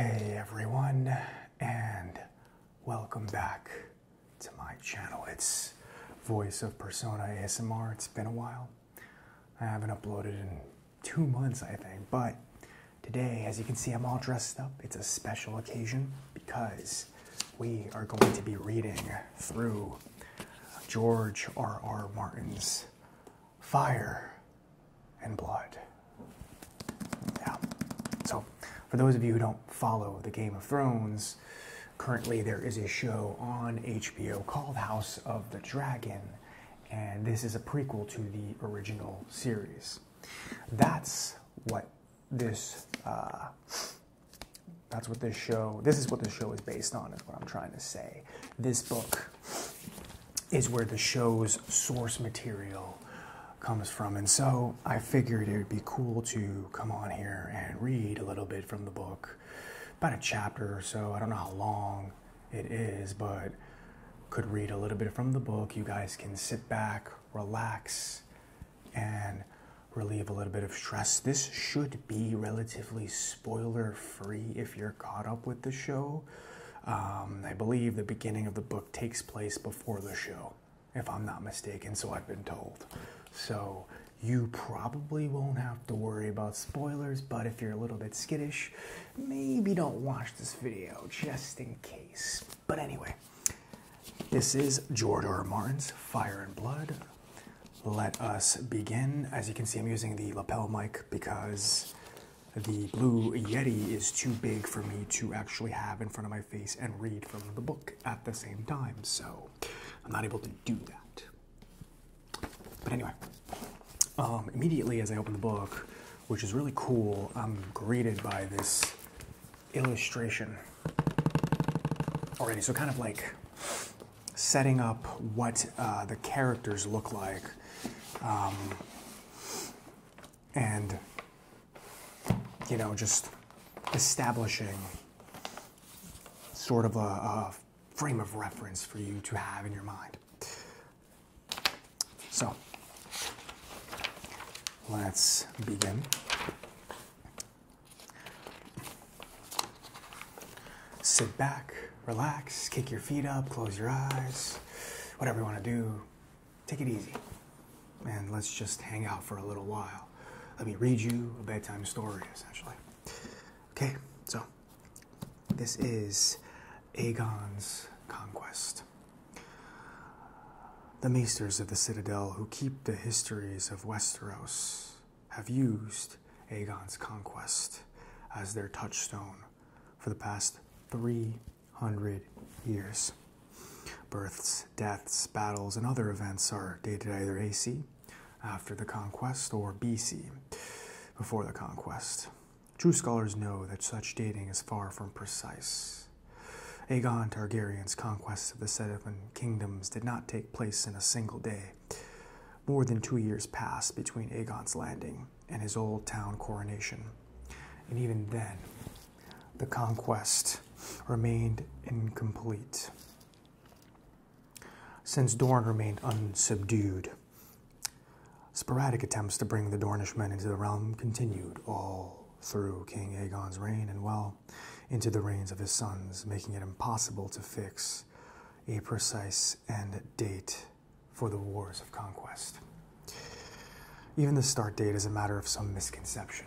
Hey everyone, and welcome back to my channel. It's Voice of Persona ASMR. It's been a while. I haven't uploaded in two months, I think, but today, as you can see, I'm all dressed up. It's a special occasion because we are going to be reading through George R. R. Martin's Fire and blood. Yeah. So, for those of you who don't follow the Game of Thrones, currently there is a show on HBO called House of the Dragon, and this is a prequel to the original series. That's what this. Uh, that's what this show. This is what this show is based on. Is what I'm trying to say. This book is where the show's source material comes from. And so I figured it would be cool to come on here and read a little bit from the book, about a chapter or so. I don't know how long it is, but could read a little bit from the book. You guys can sit back, relax, and relieve a little bit of stress. This should be relatively spoiler free if you're caught up with the show. Um, I believe the beginning of the book takes place before the show, if I'm not mistaken, so I've been told. So you probably won't have to worry about spoilers, but if you're a little bit skittish, maybe don't watch this video just in case. But anyway, this is George R. R. Martin's Fire and Blood. Let us begin. As you can see, I'm using the lapel mic because the Blue Yeti is too big for me to actually have in front of my face and read from the book at the same time, so I'm not able to do that. But anyway, um, immediately as I open the book, which is really cool, I'm greeted by this illustration already, so kind of like setting up what uh, the characters look like um, and, you know, just establishing sort of a frame of reference for you to have in your mind. So, let's begin. Sit back relax, kick your feet up, close your eyes, whatever you want to do. Take it easy. And let's just hang out for a little while. Let me read you a bedtime story, essentially. Okay, so this is Aegon's Conquest. The maesters of the citadel who keep the histories of Westeros have used Aegon's Conquest as their touchstone for the past 300 years. Births, deaths, battles, and other events are dated either AC, after the conquest, or BC, before the conquest. True scholars know that such dating is far from precise. Aegon Targaryen's conquest of the Seven Kingdoms did not take place in a single day. More than two years passed between Aegon's landing and his old town coronation. And even then, the conquest remained incomplete. Since Dorne remained unsubdued, sporadic attempts to bring the Dornishmen into the realm continued all through King Aegon's reign and well into the reigns of his sons, making it impossible to fix a precise end date for the wars of conquest. Even the start date is a matter of some misconception.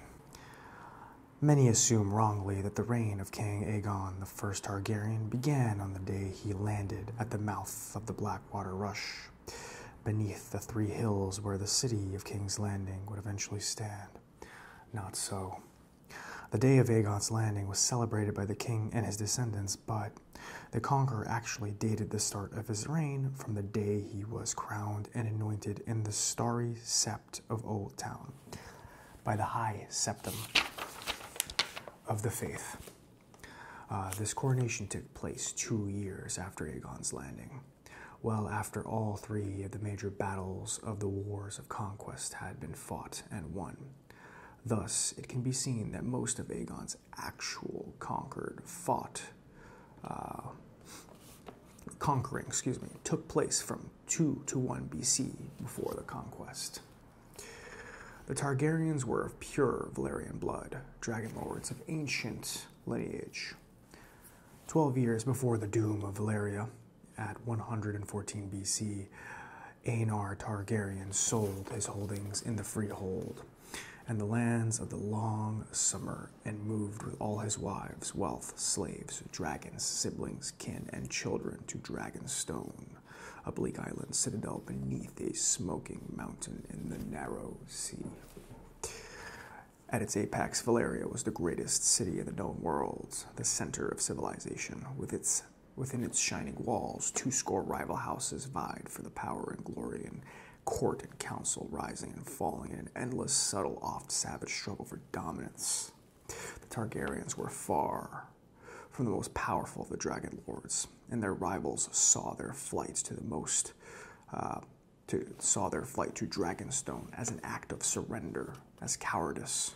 Many assume wrongly that the reign of King Aegon the First Targaryen began on the day he landed at the mouth of the Blackwater Rush, beneath the three hills where the city of King's Landing would eventually stand. Not so. The day of Aegon's landing was celebrated by the king and his descendants, but the conqueror actually dated the start of his reign from the day he was crowned and anointed in the starry sept of Old Town by the high septum of the faith. Uh, this coronation took place two years after Aegon's landing, well after all three of the major battles of the Wars of Conquest had been fought and won. Thus, it can be seen that most of Aegon's actual conquered fought uh, conquering, excuse me, took place from 2 to 1 BC before the conquest. The Targaryens were of pure Valyrian blood, dragon lords of ancient lineage. Twelve years before the doom of Valyria, at 114 BC, Aenar Targaryen sold his holdings in the freehold and the lands of the long summer and moved with all his wives, wealth, slaves, dragons, siblings, kin, and children to Dragonstone, a bleak island citadel beneath a smoking mountain in the narrow sea. At its apex, Valeria was the greatest city in the known world, the center of civilization, with its Within its shining walls, two score rival houses vied for the power and glory, and court and council rising and falling in an endless, subtle, oft savage struggle for dominance. The Targaryens were far from the most powerful of the Dragon Lords, and their rivals saw their flight to the most, uh, to, saw their flight to Dragonstone as an act of surrender, as cowardice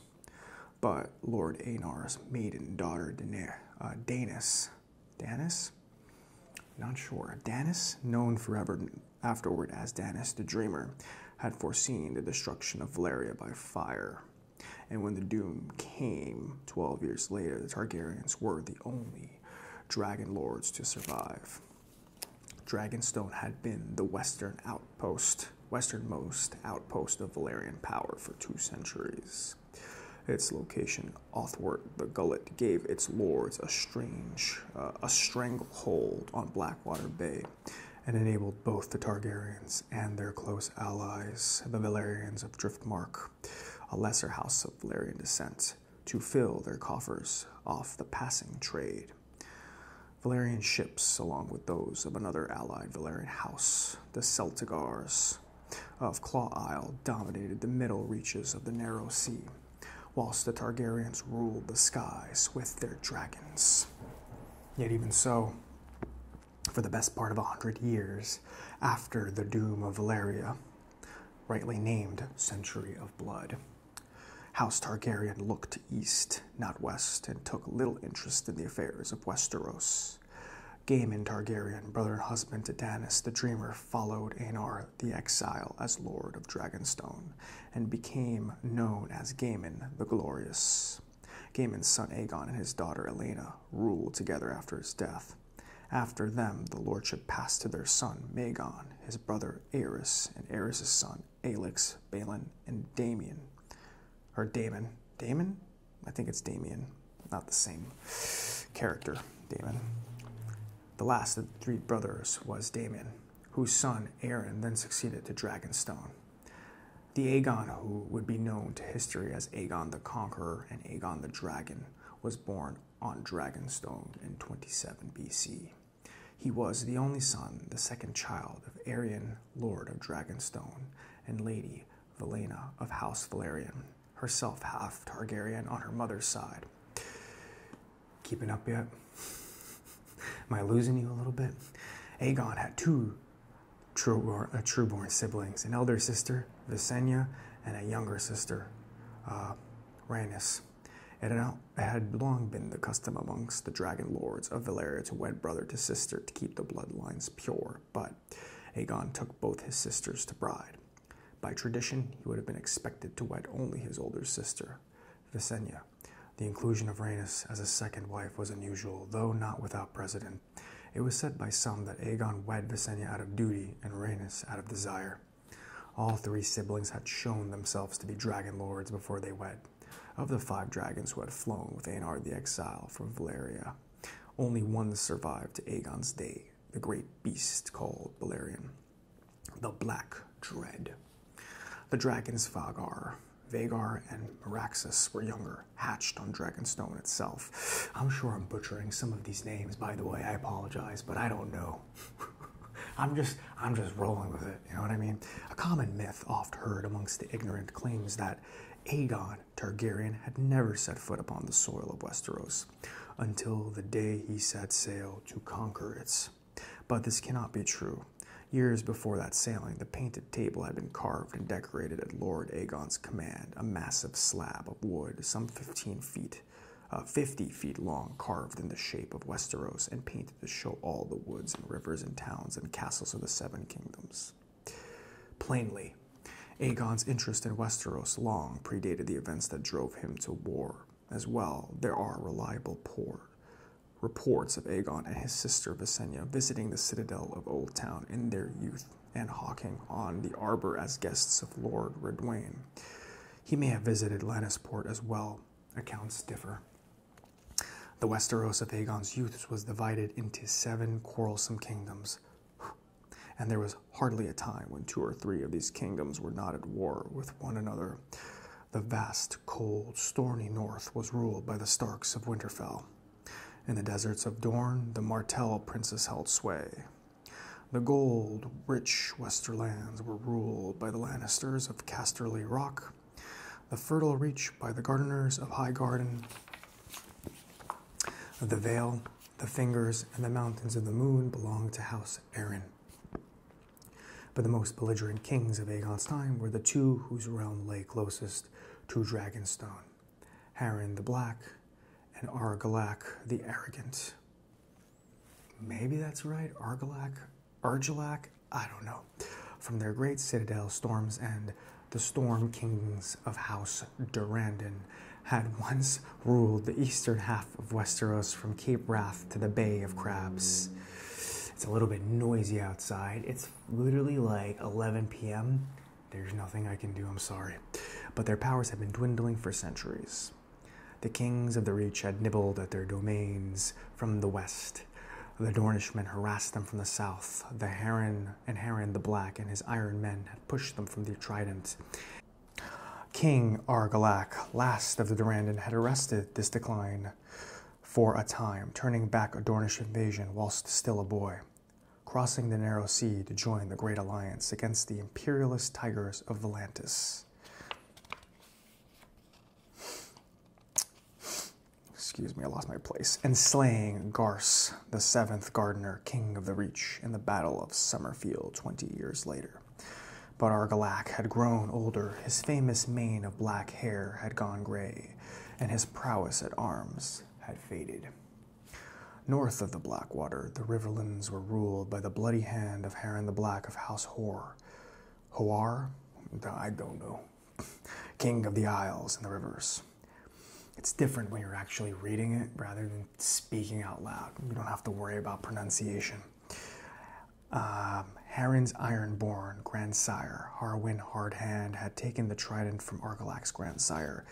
but Lord Einar's maiden daughter Dana, uh, Danis, Danis, not sure, Danis, known forever afterward as Danis the Dreamer, had foreseen the destruction of Valeria by fire. And when the doom came 12 years later, the Targaryens were the only dragon lords to survive. Dragonstone had been the western outpost westernmost outpost of Valerian power for two centuries. Its location, Othwart the Gullet, gave its lords a strange, uh, a stranglehold on Blackwater Bay, and enabled both the Targaryens and their close allies, the Valerians of Driftmark, a lesser house of Valerian descent, to fill their coffers off the passing trade. Valerian ships, along with those of another allied Valerian house, the Celtigars of Claw Isle dominated the middle reaches of the narrow sea, whilst the Targaryens ruled the skies with their dragons. Yet, even so, for the best part of a hundred years after the doom of Valeria, rightly named Century of Blood, House Targaryen looked east, not west, and took little interest in the affairs of Westeros brothers. Gaiman Targaryen, brother and husband to Danis the Dreamer, followed Aenar the Exile as Lord of Dragonstone and became known as Gaiman the Glorious. Gaiman's son Aegon and his daughter Elena ruled together after his death. After them, the lordship passed to their son Magon, his brother Aerys, and Aerys' son Alix, Balin, and Damien. Or Damon. Damon? I think it's Damien, not the same character, Damon. The last of the three brothers was Damon, whose son Aaron then succeeded to Dragonstone. The Aegon who would be known to history as Aegon the Conqueror and Aegon the Dragon was born on Dragonstone in 27 BC. He was the only son, the second child of Arian, Lord of Dragonstone, and Lady Valena of House Valerian, herself half Targaryen on her mother's side. Keeping up yet? Am I losing you a little bit? Aegon had two uh, trueborn, uh, siblings an elder sister, Visenya, and a younger sister, uh, Rhaenys. It had long been the custom amongst the dragon lords of Valeria to wed brother to sister to keep the bloodlines pure, but Aegon took both his sisters to bride. By tradition, he would have been expected to wed only his older sister, Visenya. The inclusion of Rhaenys as a second wife was unusual, though not without precedent. It was said by some that Aegon wed Visenya out of duty and Rhaenys out of desire. All three siblings had shown themselves to be dragon lords before they wed, of the five dragons who had flown with Anard the Exile from Valeria, only one survived to Aegon's day, the great beast called Balerion, the Black Dread. The dragons Vagar, Vagar, and Maraxus were younger, hatched on Dragonstone itself. I'm sure I'm butchering some of these names, by the way, I apologize, but I don't know. I'm just I'm just rolling with it. You know what I mean? A common myth oft heard amongst the ignorant claims that Aegon Targaryen had never set foot upon the soil of Westeros until the day he set sail to conquer it. But this cannot be true. Years before that sailing, the painted table had been carved and decorated at Lord Aegon's command, a massive slab of wood, some 15 feet, uh, 50 feet long, carved in the shape of Westeros and painted to show all the woods and rivers and towns and castles of the seven kingdoms. Plainly, Aegon's interest in Westeros long predated the events that drove him to war. As well, there are reliable poor reports of Aegon and his sister Visenya visiting the citadel of Oldtown in their youth and hawking on the arbor as guests of Lord Redwain. He may have visited Lannisport as well. Accounts differ. The Westeros of Aegon's youth was divided into seven quarrelsome kingdoms, and there was hardly a time when two or three of these kingdoms were not at war with one another. The vast, cold, stormy north was ruled by the Starks of Winterfell. In the deserts of Dorne, the Martell princes held sway. The gold, rich Westerlands were ruled by the Lannisters of Casterly Rock, the Fertile Reach by the Gardeners of High Garden, The Vale, The Fingers, and The Mountains of the Moon belong to House Aaron. But the most belligerent kings of Aegon's time were the two whose realm lay closest to Dragonstone Harren the Black and Argalak the Arrogant. Maybe that's right, Argalak Urgelac, I don't know, from their great citadel Storm's and The Storm Kings of House Durandon had once ruled the eastern half of Westeros from Cape Wrath to the Bay of Crabs. It's a little bit noisy outside. It's literally like 11 p.m. There's nothing I can do, I'm sorry. But their powers have been dwindling for centuries. The kings of the Reach had nibbled at their domains from the west the Dornishmen harassed them from the south. The Heron and Heron the Black and his iron men had pushed them from the trident. King Argalak, last of the Durandon, had arrested this decline for a time, turning back a Dornish invasion whilst still a boy. Crossing the narrow sea to join the Great Alliance against the imperialist tigers of Volantis excuse me, I lost my place, and slaying Garce, the seventh gardener, king of the Reach, in the Battle of Summerfield 20 years later. But Argalac had grown older, his famous mane of black hair had gone gray, and his prowess at arms had faded. North of the Blackwater, the riverlands were ruled by the bloody hand of Harran the Black of House Hor. Hoar? I don't know. King of the Isles and the Rivers. It's different when you're actually reading it rather than speaking out loud. You don't have to worry about pronunciation. Um, Harren's ironborn grandsire, Harwin Hardhand, had taken the trident from Argalak's grandsire,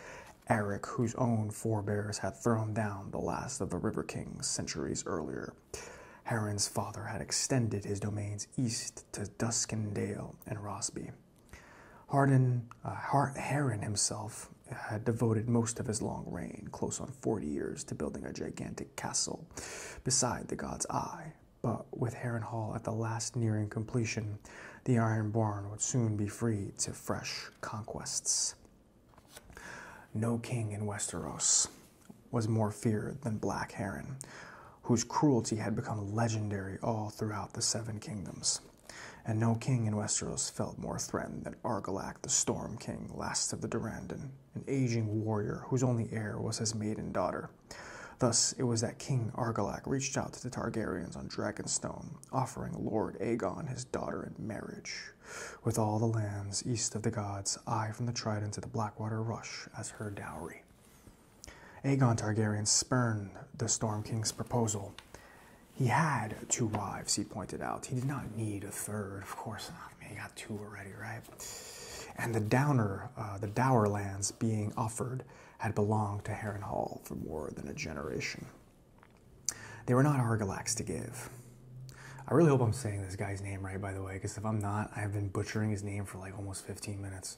Eric, whose own forebears had thrown down the last of the River Kings centuries earlier. Heron's father had extended his domains east to Duskendale and Rossby. Hardin, uh, Heron himself had devoted most of his long reign, close on 40 years, to building a gigantic castle beside the God's Eye. But with Heron Hall at the last nearing completion, the Iron Barn would soon be free to fresh conquests. No king in Westeros was more feared than Black Heron, whose cruelty had become legendary all throughout the Seven Kingdoms. And no king in Westeros felt more threatened than Argalak the Storm King, last of the Durandon, an aging warrior whose only heir was his maiden daughter. Thus, it was that King Argalak reached out to the Targaryens on Dragonstone, offering Lord Aegon his daughter in marriage. With all the lands east of the gods, I from the Trident to the Black Blackwater Rush as her dowry. Aegon Targaryen spurned the Storm King's proposal. He had two wives, he pointed out. He did not need a third, of course not. I he got two already, right? And the Downer, uh, the Dower lands being offered, had belonged to Harrenhal for more than a generation. They were not Argilax to give. I really hope I'm saying this guy's name right, by the way, because if I'm not, I have been butchering his name for like almost 15 minutes.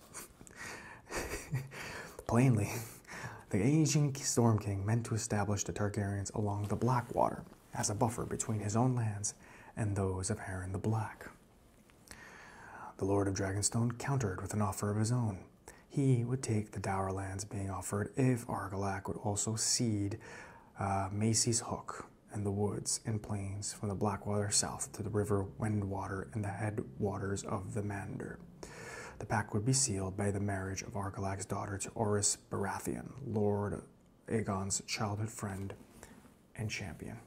Plainly, the aging Storm King meant to establish the Targaryens along the Blackwater as a buffer between his own lands and those of Harren the Black. The Lord of Dragonstone countered with an offer of his own. He would take the dower lands being offered if Argalak would also cede uh, Macy's Hook, and the woods and plains from the Blackwater south to the river Windwater and the headwaters of the Mander. The pact would be sealed by the marriage of Argalag's daughter to Oris Baratheon, Lord Aegon's childhood friend and champion.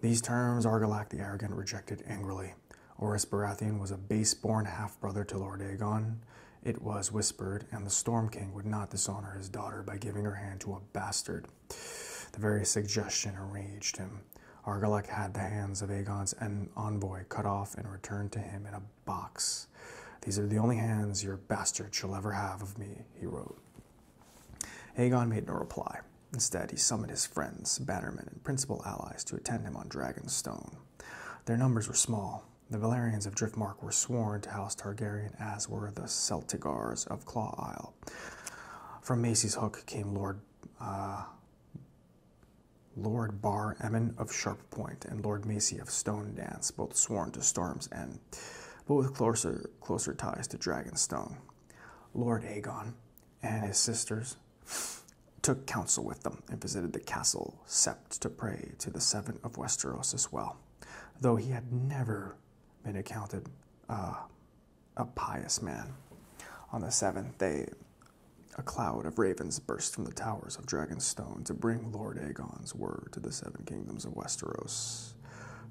These terms Argilac the Arrogant rejected angrily. Oris Baratheon was a base-born half-brother to Lord Aegon. It was whispered, and the Storm King would not dishonor his daughter by giving her hand to a bastard. The very suggestion enraged him. Argalek had the hands of Aegon's envoy cut off and returned to him in a box. These are the only hands your bastard shall ever have of me, he wrote. Aegon made no reply. Instead, he summoned his friends, bannermen, and principal allies to attend him on Dragonstone. Their numbers were small. The Valerians of Driftmark were sworn to House Targaryen, as were the Celtigars of Claw Isle. From Macy's Hook came Lord uh, Lord Bar Emin of Sharp Point and Lord Macy of Stone Dance, both sworn to Storm's End, but with closer, closer ties to Dragonstone. Lord Aegon and his sisters took counsel with them and visited the castle Sept to pray to the Seven of Westeros as well, though he had never been accounted uh, a pious man. On the seventh day, a cloud of ravens burst from the towers of Dragonstone to bring Lord Aegon's word to the seven kingdoms of Westeros.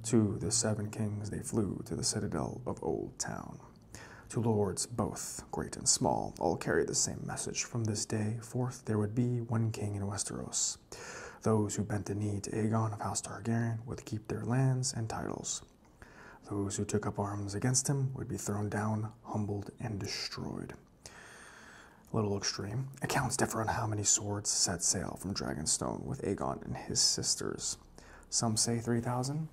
To the seven kings they flew to the citadel of Old Town. To lords both, great and small, all carried the same message. From this day forth there would be one king in Westeros, those who bent the knee to Aegon of House Targaryen would keep their lands and titles. Those who took up arms against him would be thrown down, humbled, and destroyed. little extreme. Accounts differ on how many swords set sail from Dragonstone with Aegon and his sisters. Some say 3,000,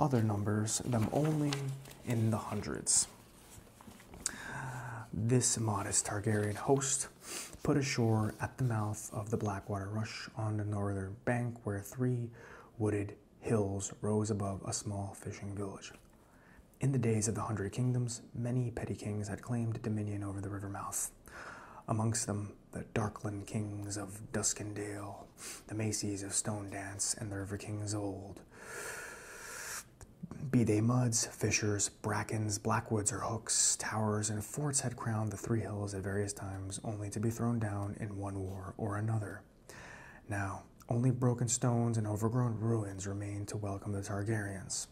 other numbers them only in the hundreds. This modest Targaryen host put ashore at the mouth of the Blackwater Rush on the northern bank, where three wooded hills rose above a small fishing village. In the days of the Hundred Kingdoms, many petty kings had claimed dominion over the river mouth. Amongst them, the Darkland kings of Duskendale, the Macy's of Stone Dance, and the River Kings of Old be they muds, fissures, brackens, blackwoods, or hooks, towers, and forts had crowned the three hills at various times, only to be thrown down in one war or another. Now, only broken stones and overgrown ruins remained to welcome the Targaryens.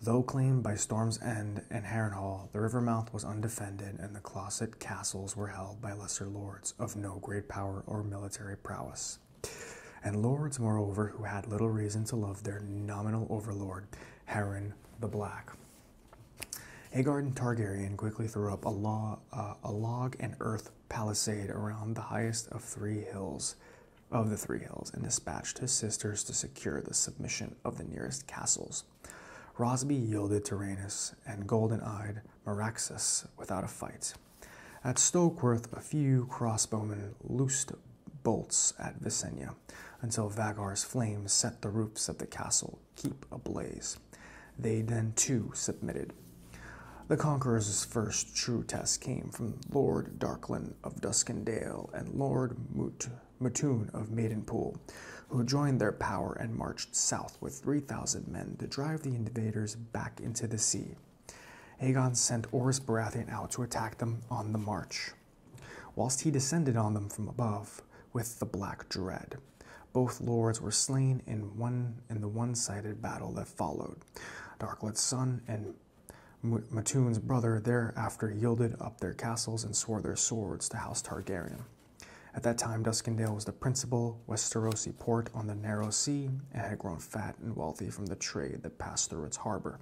Though claimed by Storm's End and Harrenhal, the river mouth was undefended, and the Closet castles were held by lesser lords of no great power or military prowess and lords, moreover, who had little reason to love their nominal overlord, Harren the Black. Agard Targaryen quickly threw up uh, a, log and earth palisade around the highest of three hills of the three hills and dispatched his sisters to secure the submission of the nearest castles. Rosby yielded to Rhaenys and golden-eyed Meraxus without a fight. At Stokeworth, a few crossbowmen loosed bolts at Visenya until Vagar's flames set the roofs of the castle keep ablaze. They then too submitted. The Conqueror's first true test came from Lord Darklin of Duskendale and Lord Mut Mutun of Maidenpool, who joined their power and marched south with 3,000 men to drive the invaders back into the sea. Aegon sent Oris Baratheon out to attack them on the march, whilst he descended on them from above with the Black Dread. Both lords were slain in one in the one-sided battle that followed. Darklet's son and Mattoon's brother thereafter yielded up their castles and swore their swords to House Targaryen. At that time, Duskendale was the principal Westerosi port on the narrow sea and had grown fat and wealthy from the trade that passed through its harbor.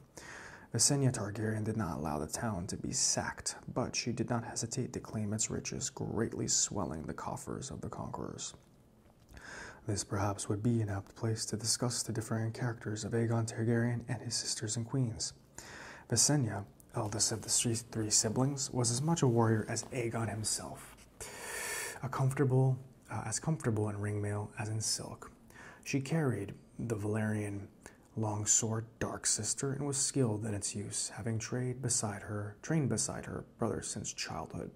Visenya Targaryen did not allow the town to be sacked, but she did not hesitate to claim its riches, greatly swelling the coffers of the conquerors. This perhaps would be an apt place to discuss the differing characters of Aegon Targaryen and his sisters and queens. Visenya, eldest of the three siblings, was as much a warrior as Aegon himself. A comfortable, uh, as comfortable in ringmail as in silk. She carried the Valerian longsword Dark Sister and was skilled in its use, having trade beside her, trained beside her brother since childhood.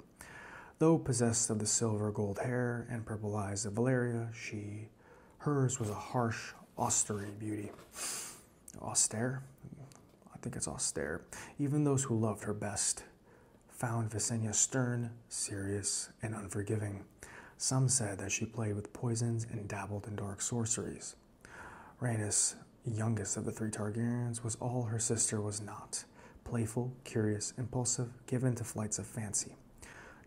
Though possessed of the silver gold hair and purple eyes of Valeria, she hers was a harsh, austere beauty. Austere? I think it's austere. Even those who loved her best found Visenya stern, serious, and unforgiving. Some said that she played with poisons and dabbled in dark sorceries. Rhaenys, youngest of the three Targaryens, was all her sister was not playful, curious, impulsive, given to flights of fancy.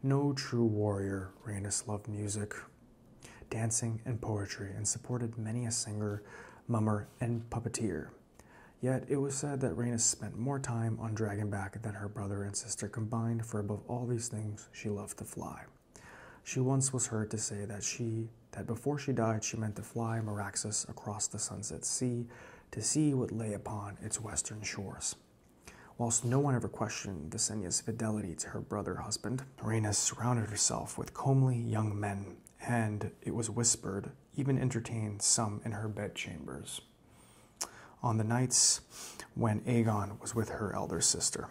No true warrior, Rhaenys loved music, dancing, and poetry, and supported many a singer, mummer, and puppeteer. Yet it was said that Rhaenys spent more time on Dragonback than her brother and sister combined, for above all these things she loved to fly. She once was heard to say that she that before she died she meant to fly Meraxus across the sunset sea to see what lay upon its western shores. Whilst no one ever questioned Visenya's fidelity to her brother husband, Rhaenys surrounded herself with comely young men, and it was whispered even entertained some in her bedchambers on the nights when Aegon was with her elder sister.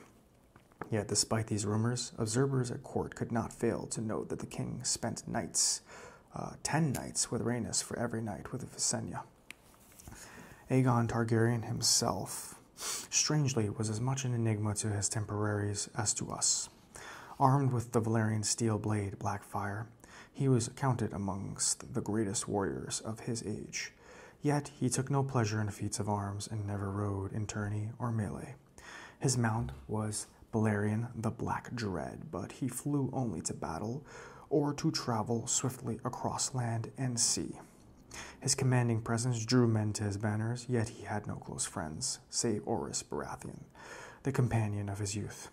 Yet, despite these rumors, observers at court could not fail to note that the king spent nights, uh, ten nights with Rhaenys for every night with Visenya. Aegon Targaryen himself, strangely, was as much an enigma to his temporaries as to us. Armed with the Valerian steel blade Blackfire, he was counted amongst the greatest warriors of his age. Yet he took no pleasure in feats of arms and never rode in tourney or melee. His mount was Balerion the Black Dread, but he flew only to battle or to travel swiftly across land and sea. His commanding presence drew men to his banners, yet he had no close friends, save Oris Baratheon, the companion of his youth.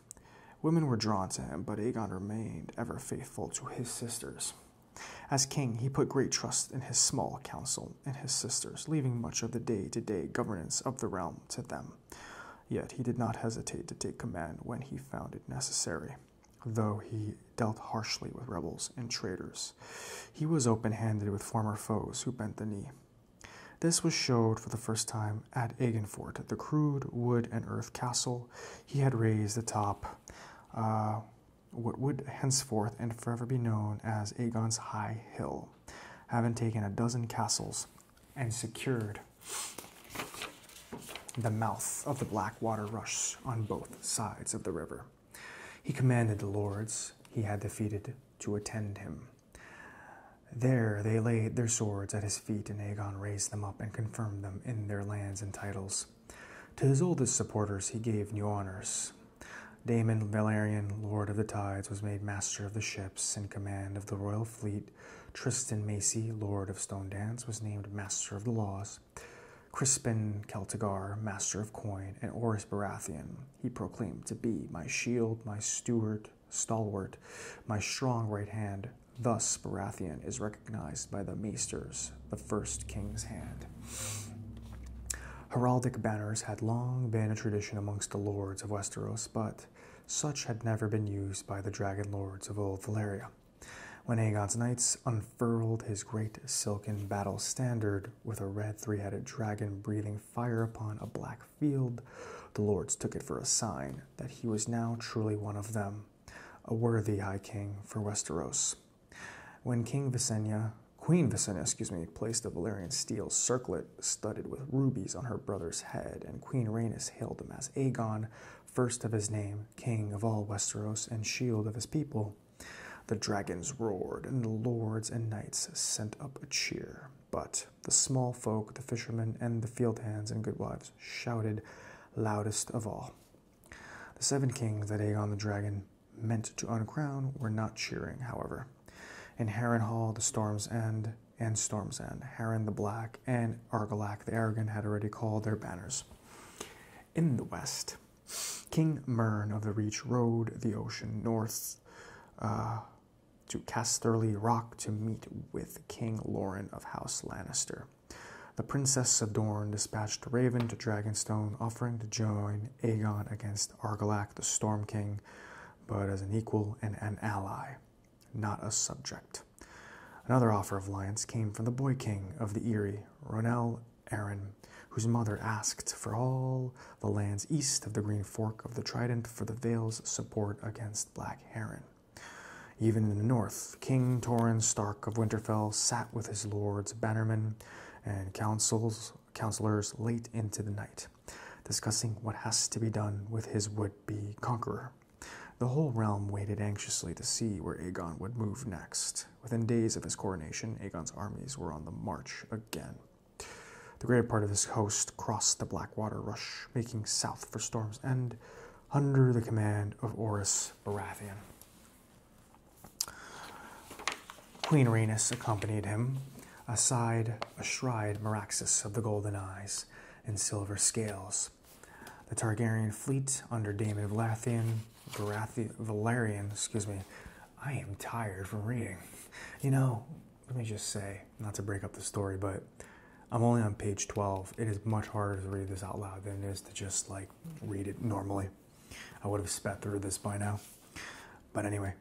Women were drawn to him, but Aegon remained ever faithful to his sisters. As king, he put great trust in his small council and his sisters, leaving much of the day to day governance of the realm to them. Yet he did not hesitate to take command when he found it necessary. Though he dealt harshly with rebels and traitors, he was open handed with former foes who bent the knee. This was showed for the the first time at Egenfort, the crude wood and earth castle he had raised the top, uh, what would henceforth and forever be known as Aegon's High Hill, having taken a dozen castles and secured the mouth of the Blackwater Rush on both sides of the river. He commanded the lords he had defeated to attend him. There they laid their swords at his feet, and Aegon raised them up and confirmed them in their lands and titles. To his oldest supporters he gave new honors. Damon Valerian, Lord of the Tides, was made master of the ships and command of the royal fleet. Tristan Macy, Lord of Stone Dance, was named Master of the Laws. Crispin Celtigar, Master of Coin, and Oris Baratheon, he proclaimed to be my shield, my steward, stalwart, my strong right hand. Thus Baratheon is recognized by the maesters, the first king's hand. Heraldic banners had long been a tradition amongst the lords of Westeros, but such had never been used by the dragon lords of old Valyria. When Aegon's knights unfurled his great silken battle standard with a red three headed dragon breathing fire upon a black field. The lords took it for a sign that he was now truly one of them, a worthy high king for Westeros. When King Visenya, Queen Visenya, excuse me, placed a Valyrian steel circlet studded with rubies on her brother's head, and Queen Rhaenys hailed him as Aegon, first of his name, king of all Westeros and shield of his people. The dragons roared, and the lords and knights sent up a cheer. But the small folk, the fishermen, and the field hands and goodwives shouted loudest of all. The seven kings that Aegon the dragon meant to uncrown were not cheering, however. In Harren Hall, the Storm's End and Storm's End, Harren the Black and Argalac the Aragon had already called their banners. In the west, King Mern of the Reach rode the ocean north uh, to Casterly Rock to meet with King Lauren of House Lannister. The Princess Adorn dispatched Raven to Dragonstone, offering to join Aegon against Argalak the Storm King, but as an equal and an ally, not a subject. Another offer of alliance came from the Boy King of the Eyrie, Ronnel Aaron, whose mother asked for all the lands east of the Green Fork of the Trident for the Vale's support against black heron. Even in the north, King Torin Stark of Winterfell sat with his lords, bannermen, and councils, counselors late into the night, discussing what has to be done with his would be conqueror. The whole realm waited anxiously to see where Aegon would move next. Within days of his coronation, Aegon's armies were on the march again. The greater part of his host crossed the Blackwater Rush, making south for Storm's End under the command of Oris Baratheon. Queen Rhaenys accompanied him, aside astride Meraxus of the Golden Eyes and Silver Scales. The Targaryen fleet under Daemon Valathian, Varathi, Valerian, excuse me, I am tired from reading. You know, let me just say, not to break up the story, but I'm only on page 12. It is much harder to read this out loud than it is to just like read it normally. I would have spat through this by now. But anyway,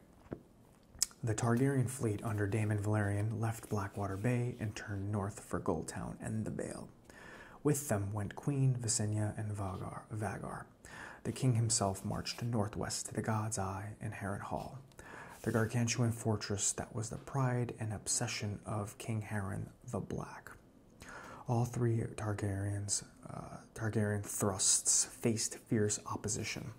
the Targaryen fleet under Damon Valerian left Blackwater Bay and turned north for Goldtown and the Vale. With them went Queen Visenya and Vagar. Vagar. The king himself marched northwest to the God's Eye and Heron Hall the gargantuan fortress that was the pride and obsession of King Harren the Black. All three Targaryens, uh, Targaryen thrusts faced fierce opposition.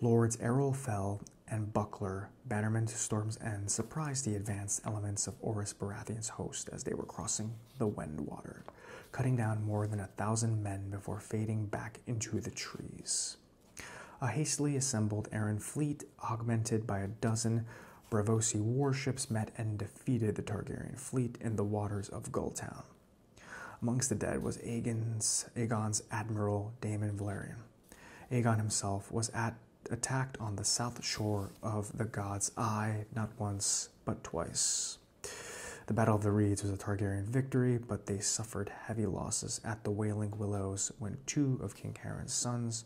Lords Errol Fell and Buckler, Bannerman Storm's End, surprised the advanced elements of Oris Baratheon's host as they were crossing the Wendwater, cutting down more than a thousand men before fading back into the trees. A hastily assembled Aran fleet, augmented by a dozen Bravosi warships, met and defeated the Targaryen fleet in the waters of Gulltown. Amongst the dead was Aegon's, admiral Damon Valerian. Aegon himself was at, attacked on the south shore of the God's Eye not once but twice. The Battle of the Reeds was a Targaryen victory, but they suffered heavy losses at the Wailing Willows when two of King Heron's sons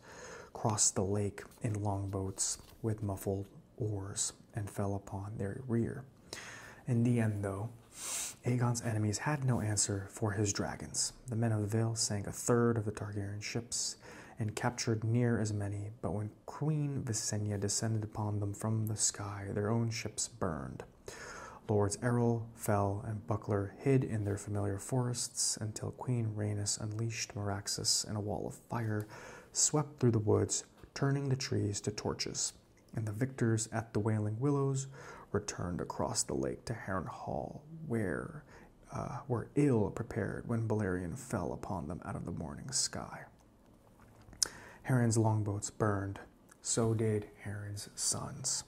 crossed the lake in longboats with muffled oars and fell upon their rear. In the end, though, Aegon's enemies had no answer for his dragons. The men of the Vale sank a third of the Targaryen ships and captured near as many, but when Queen Visenya descended upon them from the sky, their own ships burned. Lords Errol, Fell, and Buckler hid in their familiar forests until Queen Rhaenys unleashed Meraxus, and a wall of fire swept through the woods, turning the trees to torches. And the victors at the Wailing Willows returned across the lake to Heron Hall, where uh, were ill prepared when Balerion fell upon them out of the morning sky. Heron's longboats burned, so did Heron's sons.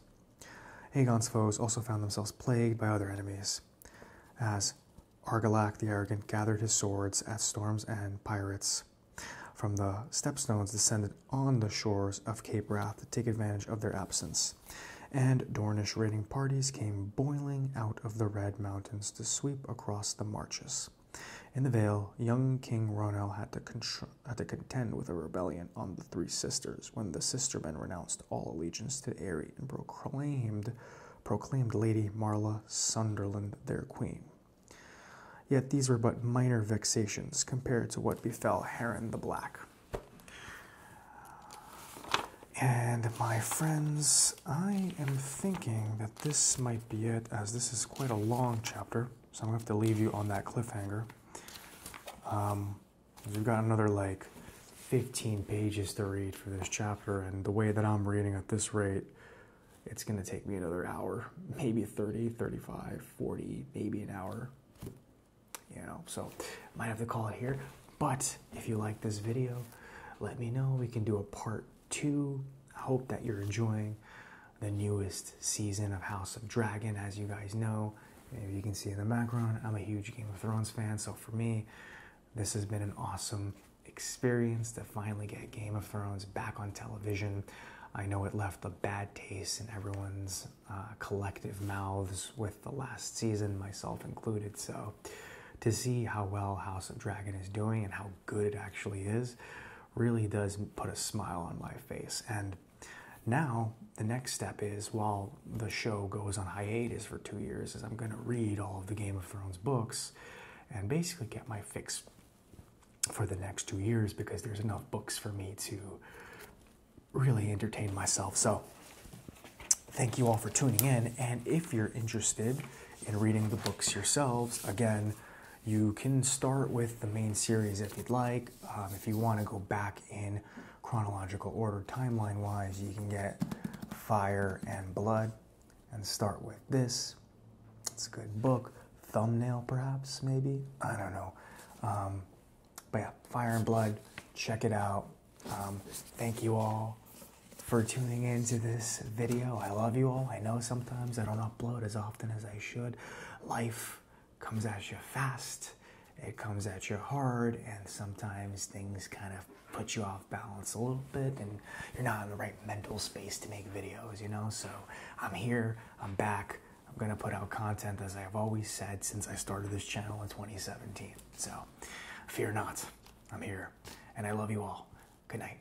Aegon's foes also found themselves plagued by other enemies, as Argilac the Arrogant gathered his swords at storm's and pirates from the stepstones descended on the shores of Cape Wrath to take advantage of their absence, and Dornish raiding parties came boiling out of the Red Mountains to sweep across the marches. In the Vale, young King Ronel had to had to contend with a rebellion on the Three Sisters when the Sistermen renounced all allegiance to Aerie and proclaimed, proclaimed Lady Marla Sunderland their queen. Yet these were but minor vexations compared to what befell Heron the Black. And my friends, I am thinking that this might be it, as this is quite a long chapter, so I'm going to have to leave you on that cliffhanger. Um, we've got another like 15 pages to read for this chapter, and the way that I'm reading at this rate, it's going to take me another hour, maybe 30, 35, 40, maybe an hour. You know, so might have to call it here. But if you like this video, let me know. We can do a part two. I hope that you're enjoying the newest season of House of Dragon, as you guys know. you can see in the background, I'm a huge Game of Thrones fan, so for me, this has been an awesome experience to finally get Game of Thrones back on television. I know it left a bad taste in everyone's uh, collective mouths with the last season, myself included. So, to see how well House of Dragon is doing and how good it actually is really does put a smile on my face. And now, the next step is while the show goes on hiatus for two years, is I'm going to read all of the Game of Thrones books and basically get my fix for the next two years because there's enough books for me to really entertain myself. So, thank you all for tuning in. And if you're interested in reading the books yourselves, again, you can start with the main series if you'd like. Um, if you want to go back in chronological order, timeline wise, you can get Fire and Blood and start with this. It's a good book. Thumbnail, perhaps, maybe? I don't know. Um, but yeah, Fire and Blood, check it out. Um, thank you all for tuning in to this video. I love you all. I know sometimes I don't upload as often as I should. Life comes at you fast, it comes at you hard, and sometimes things kind of put you off balance a little bit, and you're not in the right mental space to make videos, you know? So I'm here, I'm back. I'm gonna put out content as I've always said since I started this channel in 2017. So fear not, I'm here, and I love you all. Good night.